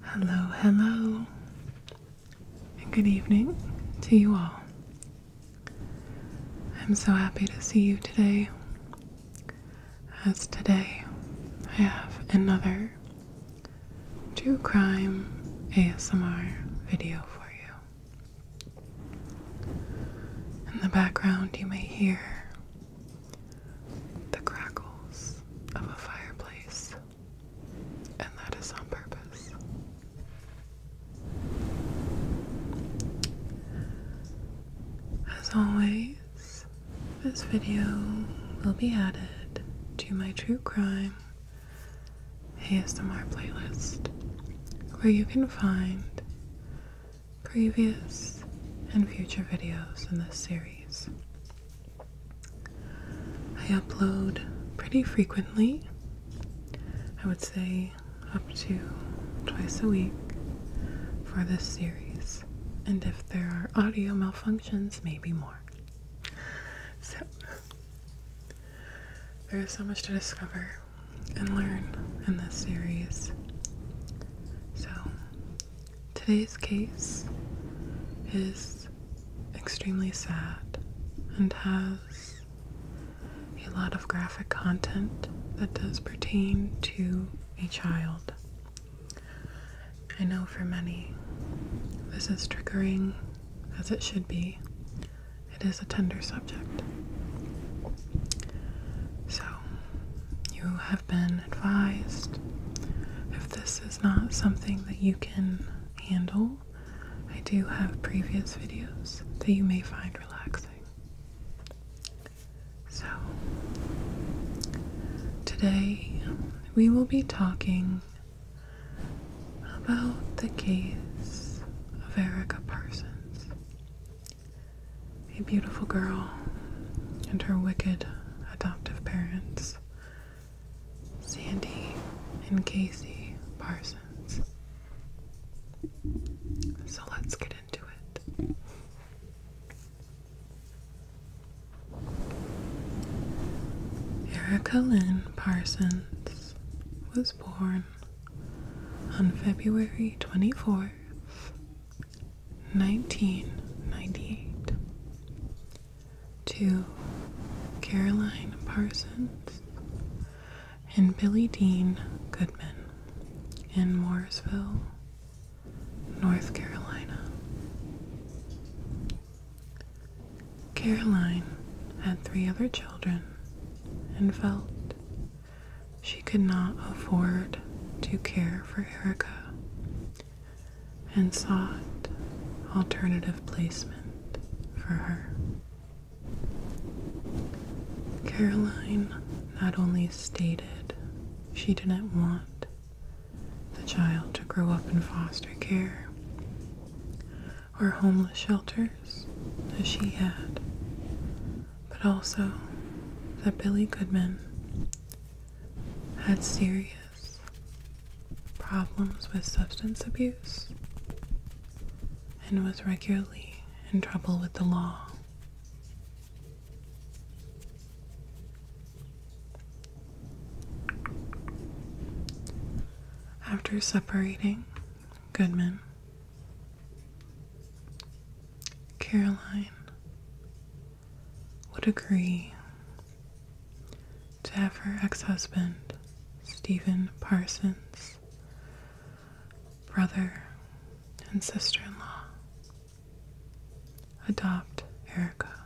Hello, hello, and good evening to you all. I'm so happy to see you today, as today I have another true crime ASMR video for you. In the background, you may hear the crackles of a fireplace, and that is on purpose. As always, this video will be added to my true crime ASMR playlist, where you can find previous and future videos in this series. I upload pretty frequently, I would say up to twice a week for this series, and if there are audio malfunctions, maybe more. So, there is so much to discover and learn in this series. So, today's case is extremely sad and has a lot of graphic content that does pertain to a child. I know for many this is triggering, as it should be. It is a tender subject. So, you have been advised if this is not something that you can handle, I do have previous videos that you may find relaxing. So, today we will be talking about the case of Erica Parsons a beautiful girl and her wicked adoptive parents, Sandy and Casey Parsons. So let's get into it. Erica Lynn Parsons was born on February 24th, 1998 to Caroline Parsons and Billy Dean Goodman in Mooresville, North Carolina. Caroline had three other children and felt she could not afford to care for Erica and sought alternative placement for her. Caroline not only stated she didn't want the child to grow up in foster care or homeless shelters that she had but also that Billy Goodman had serious problems with substance abuse and was regularly in trouble with the law. After separating, Goodman Caroline would agree to have her ex husband, Stephen Parsons, brother and sister in law, adopt Erica.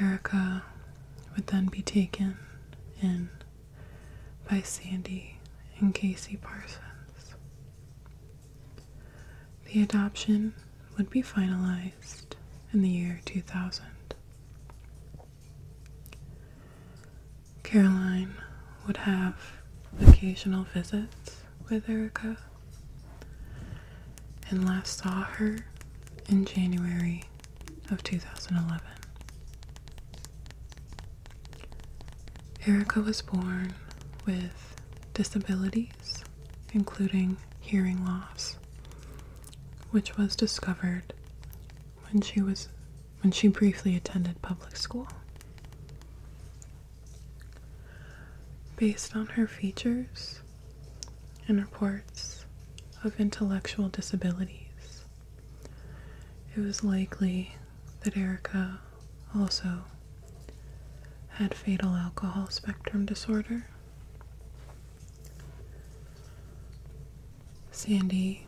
Erica would then be taken in by Sandy and Casey Parsons. The adoption would be finalized in the year 2000. Caroline would have occasional visits with Erica and last saw her in January of 2011. Erica was born with disabilities, including hearing loss, which was discovered when she was when she briefly attended public school. Based on her features and reports of intellectual disabilities, it was likely that Erica also had fatal alcohol spectrum disorder. Sandy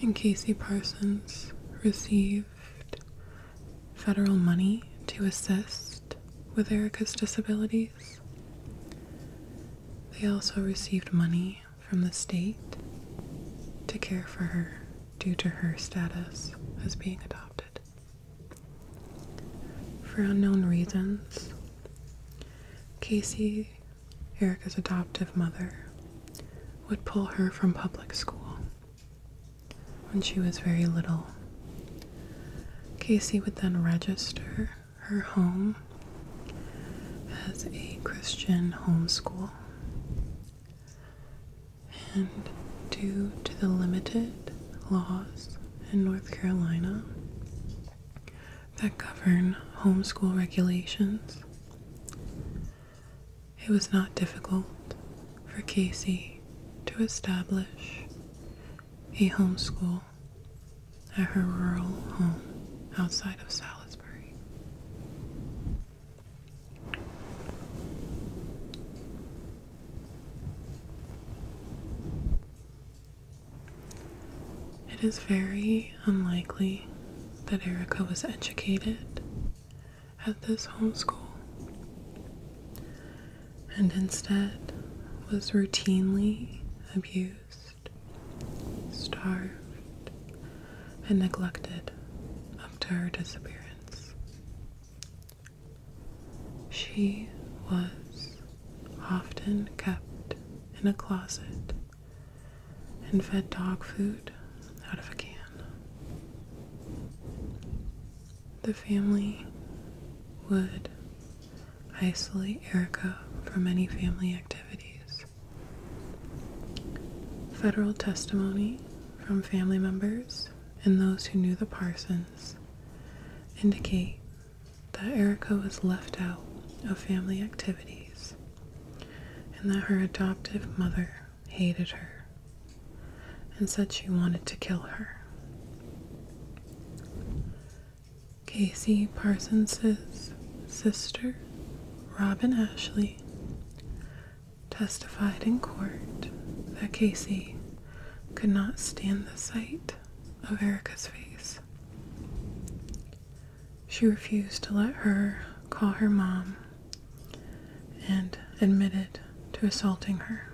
and Casey Parsons received federal money to assist with Erica's disabilities. They also received money from the state to care for her due to her status as being adopted. For unknown reasons, Casey, Erica's adoptive mother, would pull her from public school when she was very little. Casey would then register her home as a Christian homeschool and due to the limited laws in North Carolina that govern homeschool regulations, it was not difficult for Casey to establish a homeschool at her rural home outside of Salisbury. It is very unlikely that Erica was educated at this homeschool and instead was routinely abused, starved, and neglected up to her disappearance. She was often kept in a closet and fed dog food out of a can. The family would isolate Erica from any family activities. Federal testimony from family members and those who knew the Parsons indicate that Erica was left out of family activities and that her adoptive mother hated her and said she wanted to kill her. Casey Parsons' sister, Robin Ashley, testified in court that Casey could not stand the sight of Erica's face. She refused to let her call her mom and admitted to assaulting her.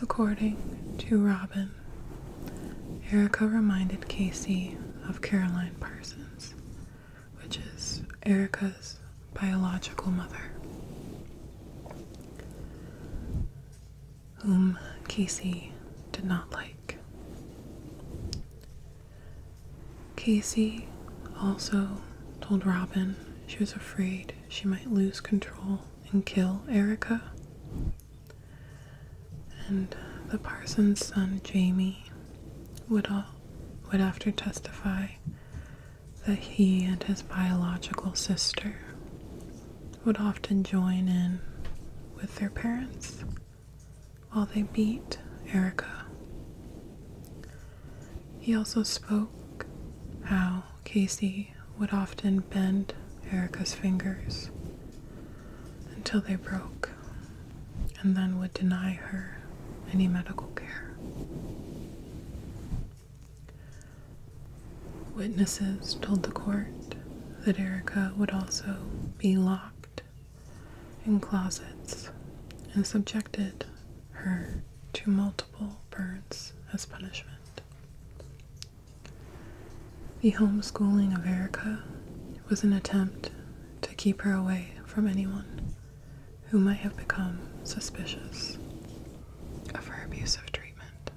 According to Robin, Erica reminded Casey of Caroline Parsons which is Erica's biological mother, whom Casey did not like. Casey also told Robin she was afraid she might lose control and kill Erica. And uh, the parson's son Jamie would would after testify that he and his biological sister would often join in with their parents while they beat Erica. He also spoke how Casey would often bend Erica's fingers until they broke and then would deny her any medical care. Witnesses told the court that Erica would also be locked in closets and subjected her to multiple burns as punishment. The homeschooling of Erica was an attempt to keep her away from anyone who might have become suspicious of her abusive treatment.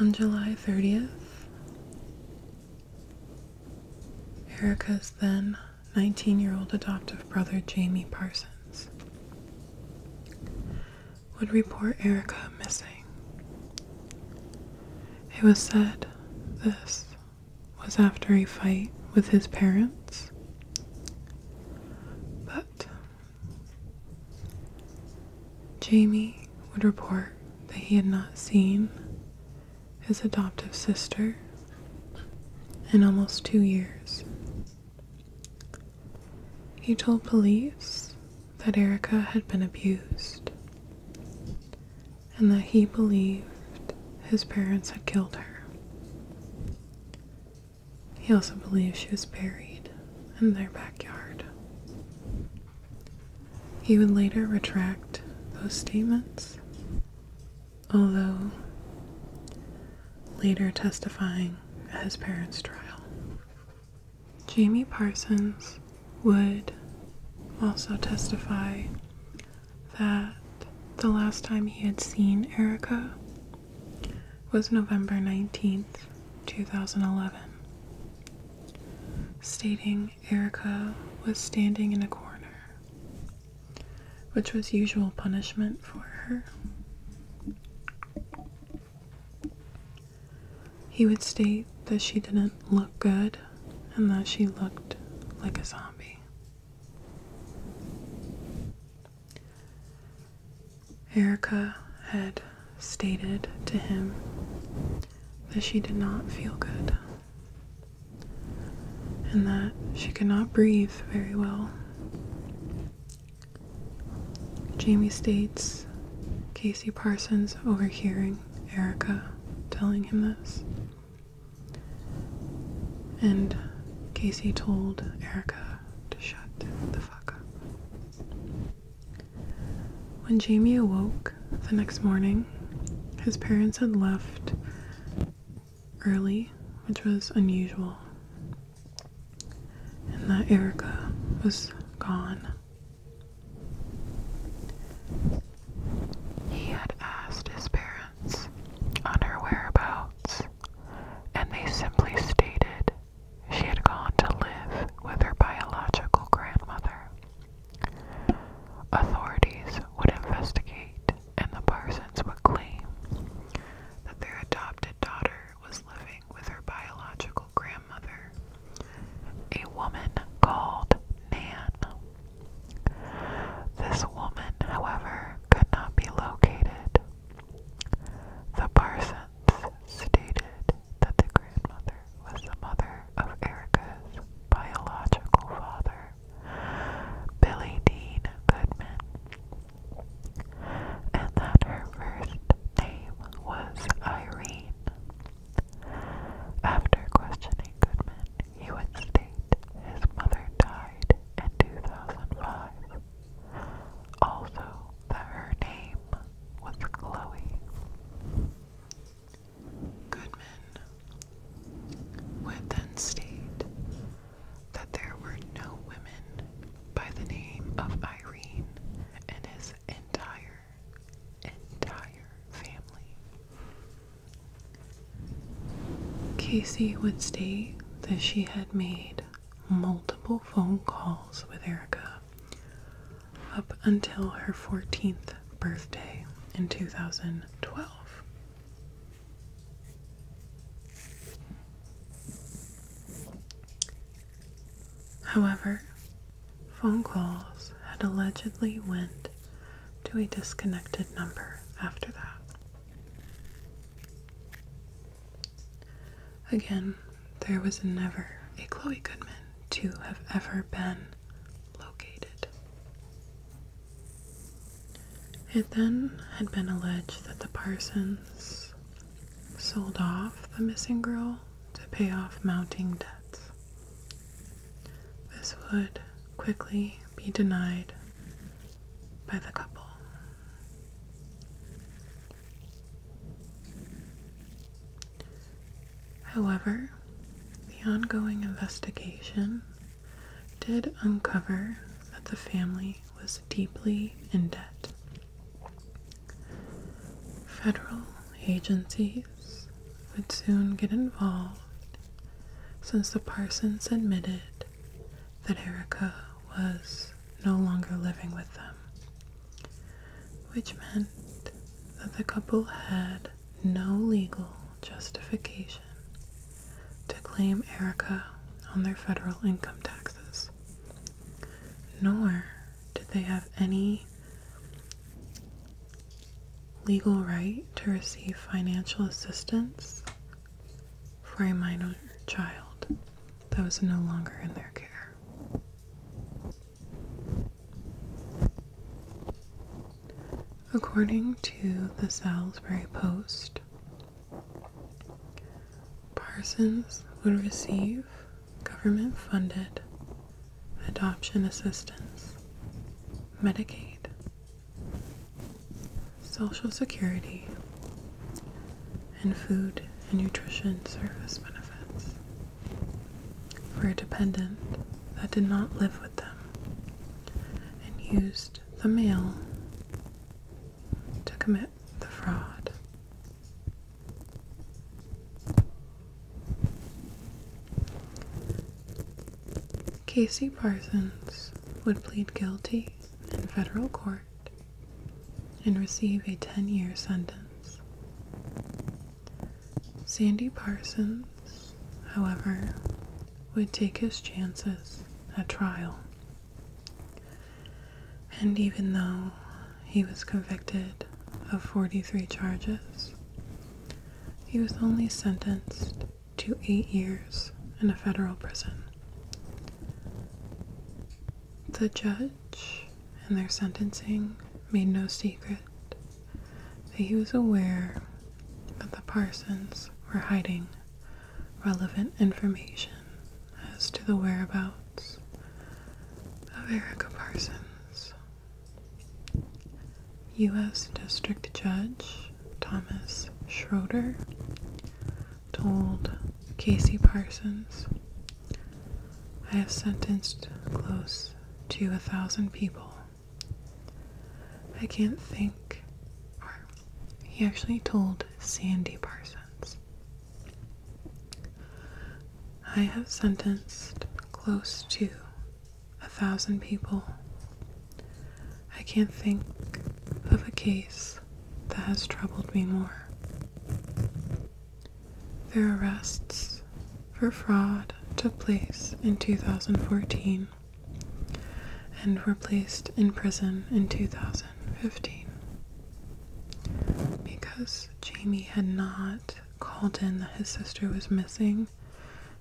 On July 30th, Erica's then 19 year old adoptive brother Jamie Parsons would report Erica missing. It was said this was after a fight with his parents, but Jamie would report that he had not seen his adoptive sister in almost two years. He told police that Erica had been abused and that he believed his parents had killed her. He also believed she was buried in their backyard. He would later retract those statements, although later testifying at his parents' trial. Jamie Parsons would also testify that the last time he had seen Erica was November 19th, 2011, stating Erica was standing in a corner, which was usual punishment for her. He would state that she didn't look good and that she looked like a zombie. Erica had stated to him that she did not feel good and that she could not breathe very well. Jamie states Casey Parsons overhearing Erica telling him this. And Casey told Erica to shut the fuck up. When Jamie awoke the next morning, his parents had left early, which was unusual, and that Erica was gone he had asked his parents on her whereabouts, and they simply stated she had gone to live with her biological grandmother. Authorities would investigate, and the Parsons would claim that their adopted daughter was living with her biological grandmother, a woman called Nan. This woman, however, could not be located. The Parsons stated that the grandmother was the mother of Erica's biological father, Billy Dean Goodman, and that her first name was Irene. After questioning Goodman, he would state his mother died in 2005. Also, that her name was Chloe. Goodman would then state that there were no women by the name of Irene in his entire Casey would state that she had made multiple phone calls with Erica up until her 14th birthday in 2012. However, phone calls had allegedly went to a disconnected number after that. Again, there was never a Chloe Goodman to have ever been located. It then had been alleged that the Parsons sold off the missing girl to pay off mounting debts. This would quickly be denied by the couple. However, the ongoing investigation did uncover that the family was deeply in debt Federal agencies would soon get involved since the Parsons admitted that Erica was no longer living with them, which meant that the couple had no legal justification to claim Erica on their federal income taxes, nor did they have any legal right to receive financial assistance for a minor child that was no longer in their care? According to the Salisbury Post, Parsons would receive government funded adoption assistance, Medicaid, Social Security, and food and nutrition service benefits for a dependent that did not live with them and used the mail to commit the fraud. Casey Parsons would plead guilty in federal court and receive a 10 year sentence. Sandy Parsons, however, would take his chances at trial. And even though he was convicted of 43 charges. He was only sentenced to eight years in a federal prison. The judge in their sentencing made no secret that he was aware that the Parsons were hiding relevant information as to the whereabouts of Erica Parsons. U.S. District Judge Thomas Schroeder told Casey Parsons, I have sentenced close to a thousand people. I can't think, he actually told Sandy Parsons, I have sentenced close to a thousand people. I can't think of a case that has troubled me more. Their arrests for fraud took place in 2014 and were placed in prison in 2015 because Jamie had not called in that his sister was missing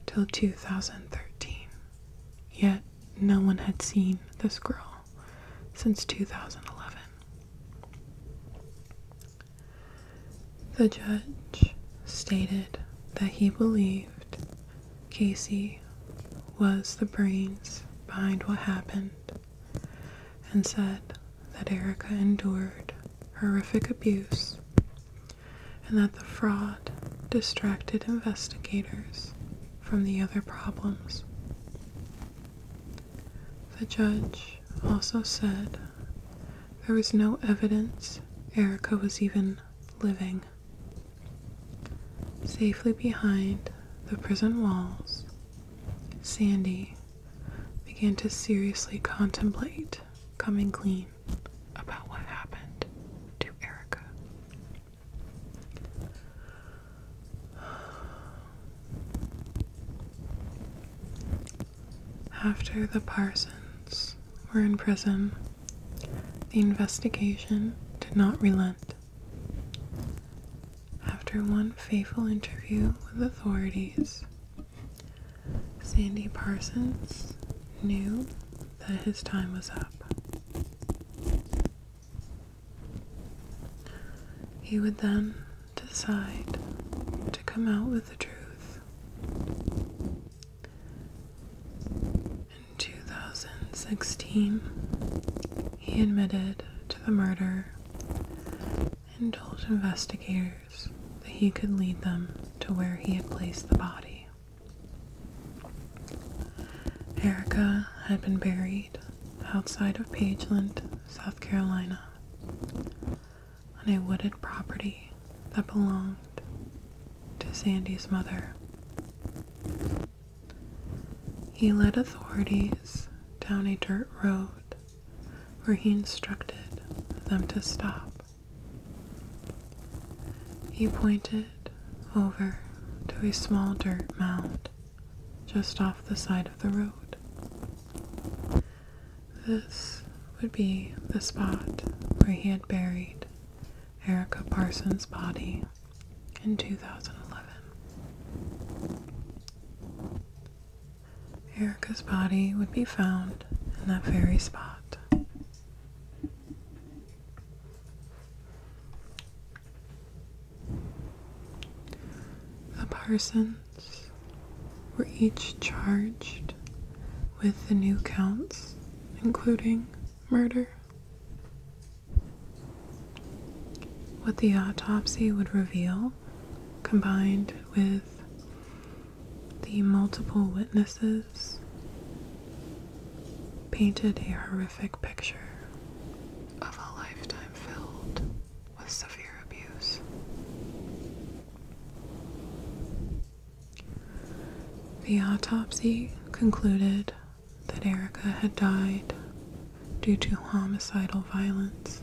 till 2013. Yet no one had seen this girl since 2011. The judge stated that he believed Casey was the brains behind what happened and said that Erica endured horrific abuse and that the fraud distracted investigators from the other problems. The judge also said there was no evidence Erica was even living. Safely behind the prison walls, Sandy began to seriously contemplate coming clean about what happened to Erica. After the Parsons were in prison, the investigation did not relent. After one fateful interview with authorities, Sandy Parsons knew that his time was up. He would then decide to come out with the truth. In 2016, he admitted to the murder and told investigators that he could lead them to where he had placed the body. Erica had been buried outside of Pageland, South Carolina, on a wooded property that belonged to Sandy's mother. He led authorities down a dirt road where he instructed them to stop. He pointed over to a small dirt mound just off the side of the road. This would be the spot where he had buried Erica Parsons' body in 2011. Erica's body would be found in that very spot. The Parsons were each charged with the new counts, including murder. What the autopsy would reveal, combined with the multiple witnesses painted a horrific picture of a lifetime filled with severe abuse. The autopsy concluded that Erica had died due to homicidal violence.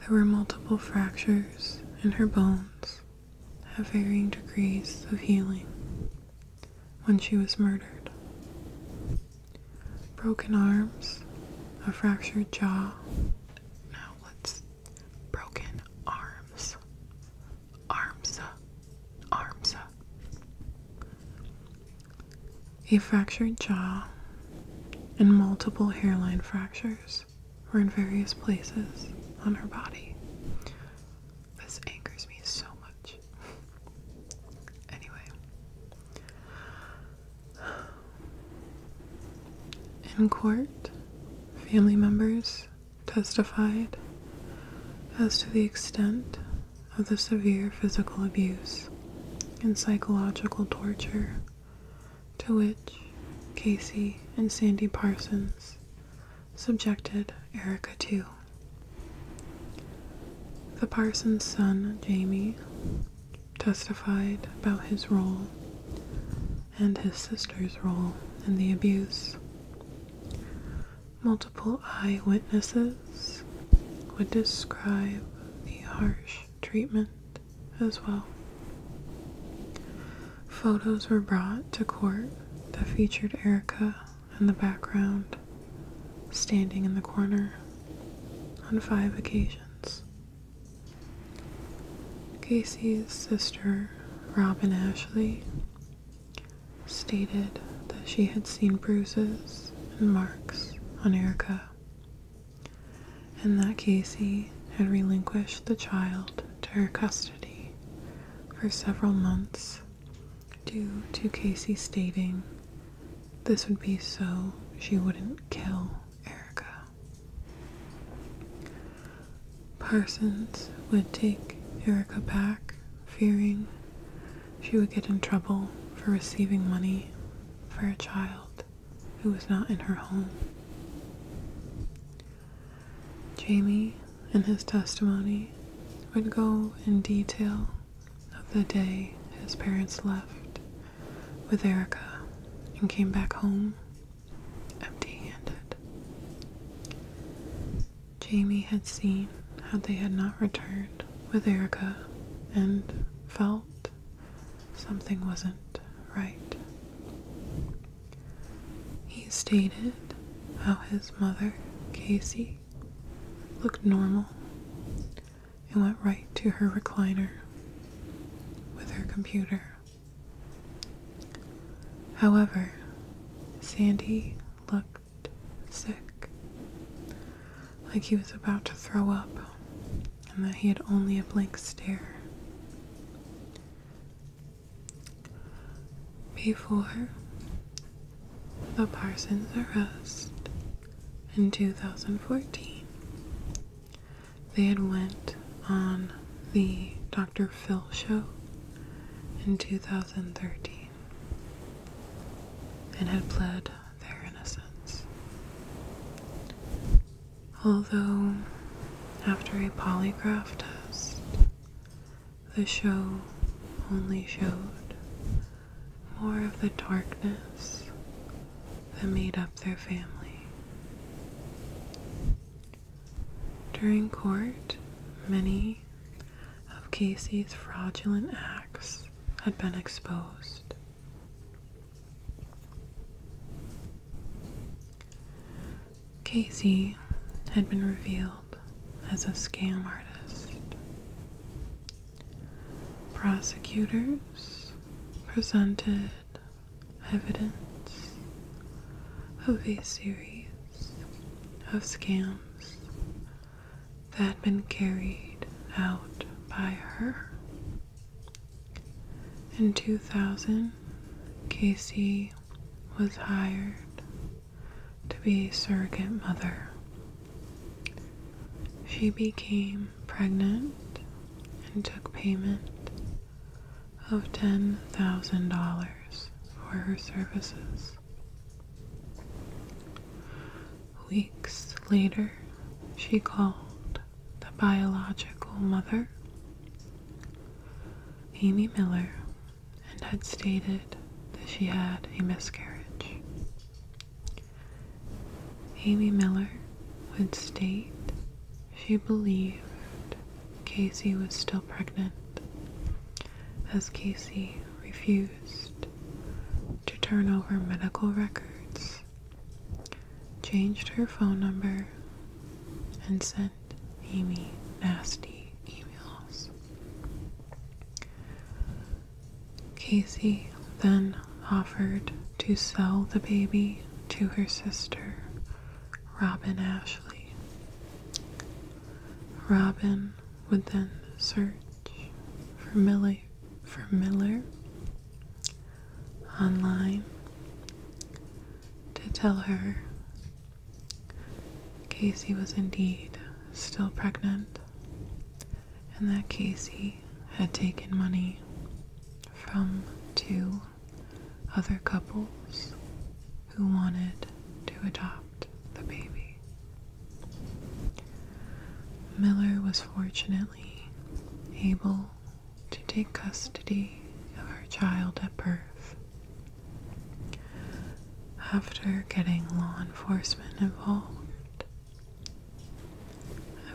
There were multiple fractures in her bones at varying degrees of healing when she was murdered. Broken arms, a fractured jaw. Now let's. Broken arms. Arms. Uh, arms. Uh. A fractured jaw and multiple hairline fractures or in various places on her body. This angers me so much. anyway, in court, family members testified as to the extent of the severe physical abuse and psychological torture to which Casey and Sandy Parsons subjected Erica too. The Parsons' son, Jamie, testified about his role and his sister's role in the abuse. Multiple eyewitnesses would describe the harsh treatment as well. Photos were brought to court that featured Erica in the background, standing in the corner on five occasions. Casey's sister, Robin Ashley, stated that she had seen bruises and marks on Erica and that Casey had relinquished the child to her custody for several months due to Casey stating this would be so she wouldn't kill Erica. Parsons would take Erica back, fearing she would get in trouble for receiving money for a child who was not in her home. Jamie, in his testimony, would go in detail of the day his parents left with Erica and came back home empty handed. Jamie had seen how they had not returned with Erica and felt something wasn't right. He stated how his mother, Casey, looked normal and went right to her recliner with her computer. However, Sandy looked sick, like he was about to throw up and that he had only a blank stare. Before the Parsons arrest in 2014, they had went on the Dr. Phil show in 2013 and had pled their innocence. Although, after a polygraph test, the show only showed more of the darkness that made up their family. During court, many of Casey's fraudulent acts had been exposed. Casey had been revealed as a scam artist. Prosecutors presented evidence of a series of scams that had been carried out by her in 2000, Casey was hired to be surrogate mother. She became pregnant and took payment of $10,000 for her services. Weeks later, she called the biological mother, Amy Miller, and had stated that she had a miscarriage. Amy Miller would state she believed Casey was still pregnant, as Casey refused to turn over medical records changed her phone number, and sent Amy nasty emails. Casey then offered to sell the baby to her sister, Robin Ashley. Robin would then search for Millie for Miller online to tell her Casey was indeed still pregnant and that Casey had taken money from two other couples who wanted to adopt the baby. Miller was fortunately able to take custody of her child at birth. After getting law enforcement involved,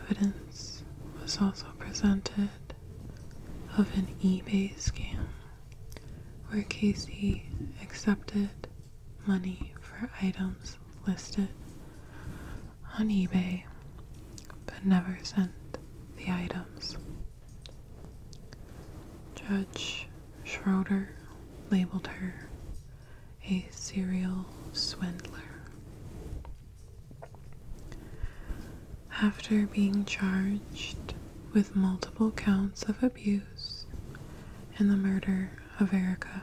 evidence was also presented of an eBay scam where Casey accepted money for items listed on eBay but never sent the items. Judge Schroeder labeled her a serial swindler. After being charged with multiple counts of abuse and the murder of Erica,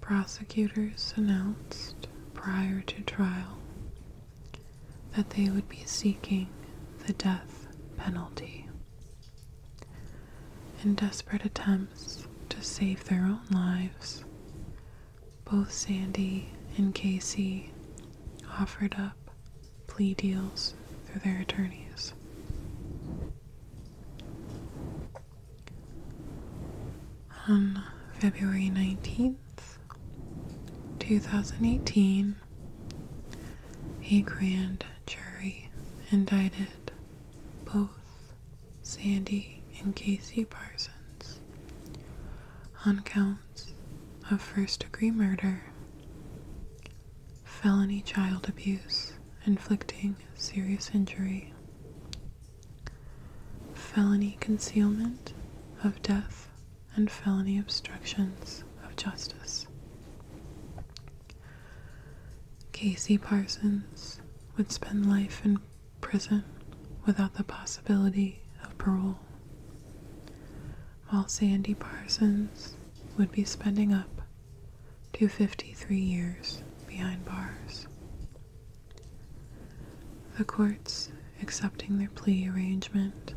prosecutors announced prior to trial that they would be seeking the death penalty. In desperate attempts to save their own lives, both Sandy and Casey offered up plea deals through their attorneys. On February 19th, 2018, a grand jury indicted both Sandy and Casey Parsons on counts of first degree murder, felony child abuse inflicting serious injury, felony concealment of death, and felony obstructions of justice. Casey Parsons would spend life in prison without the possibility of parole, while Sandy Parsons would be spending up to 53 years behind bars. The courts accepting their plea arrangement,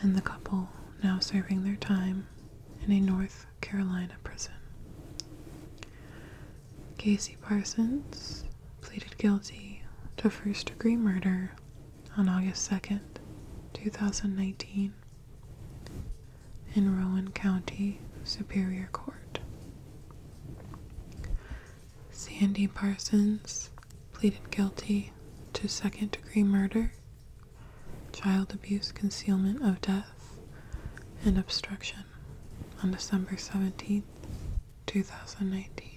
and the couple now serving their time in a North Carolina prison. Casey Parsons pleaded guilty to first degree murder on August 2nd, 2019, in Rowan County Superior Court. Sandy Parsons pleaded guilty to second degree murder, child abuse, concealment of death, and obstruction on December 17, 2019.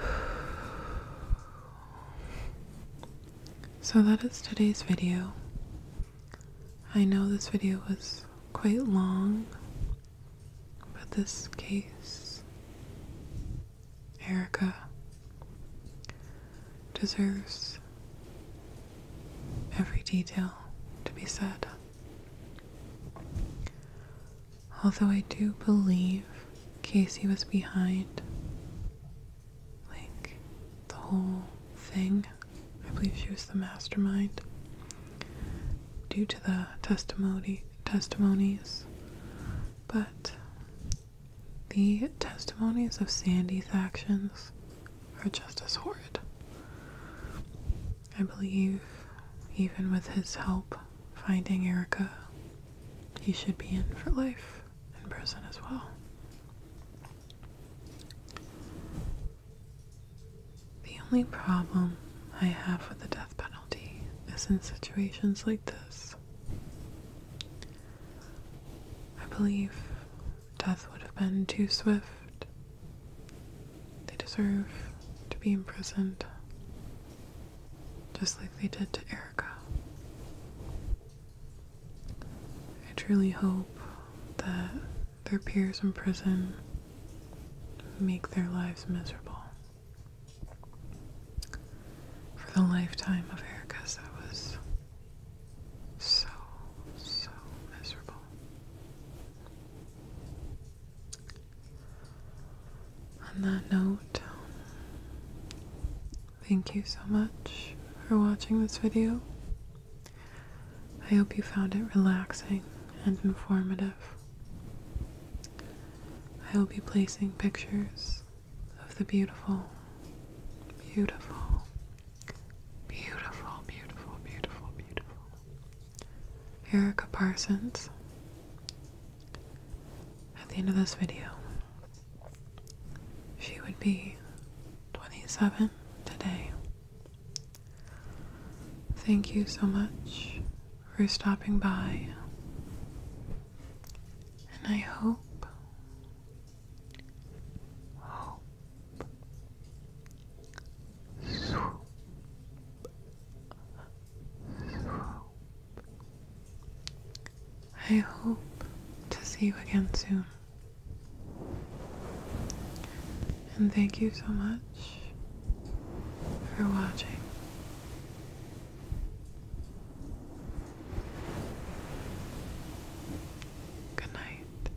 So that is today's video. I know this video was quite long, but this case, Erica, deserves every detail to be said. Although I do believe Casey was behind, like, the whole thing. I believe she was the mastermind. Due to the testimony testimonies, but the testimonies of Sandy's actions are just as horrid. I believe, even with his help finding Erica, he should be in for life in prison as well. The only problem I have with the death penalty is in situations like this. I believe death would have been too swift. They deserve to be imprisoned, just like they did to Erica. I truly hope that their peers in prison make their lives miserable. For the lifetime of Erica's, that was so, so miserable. On that note, thank you so much for watching this video. I hope you found it relaxing and informative. I will be placing pictures of the beautiful, beautiful, beautiful, beautiful, beautiful, beautiful Erica Parsons at the end of this video. She would be 27 today. Thank you so much for stopping by, and I hope, hope, swoop, swoop. I hope to see you again soon. And thank you so much for watching. Good night.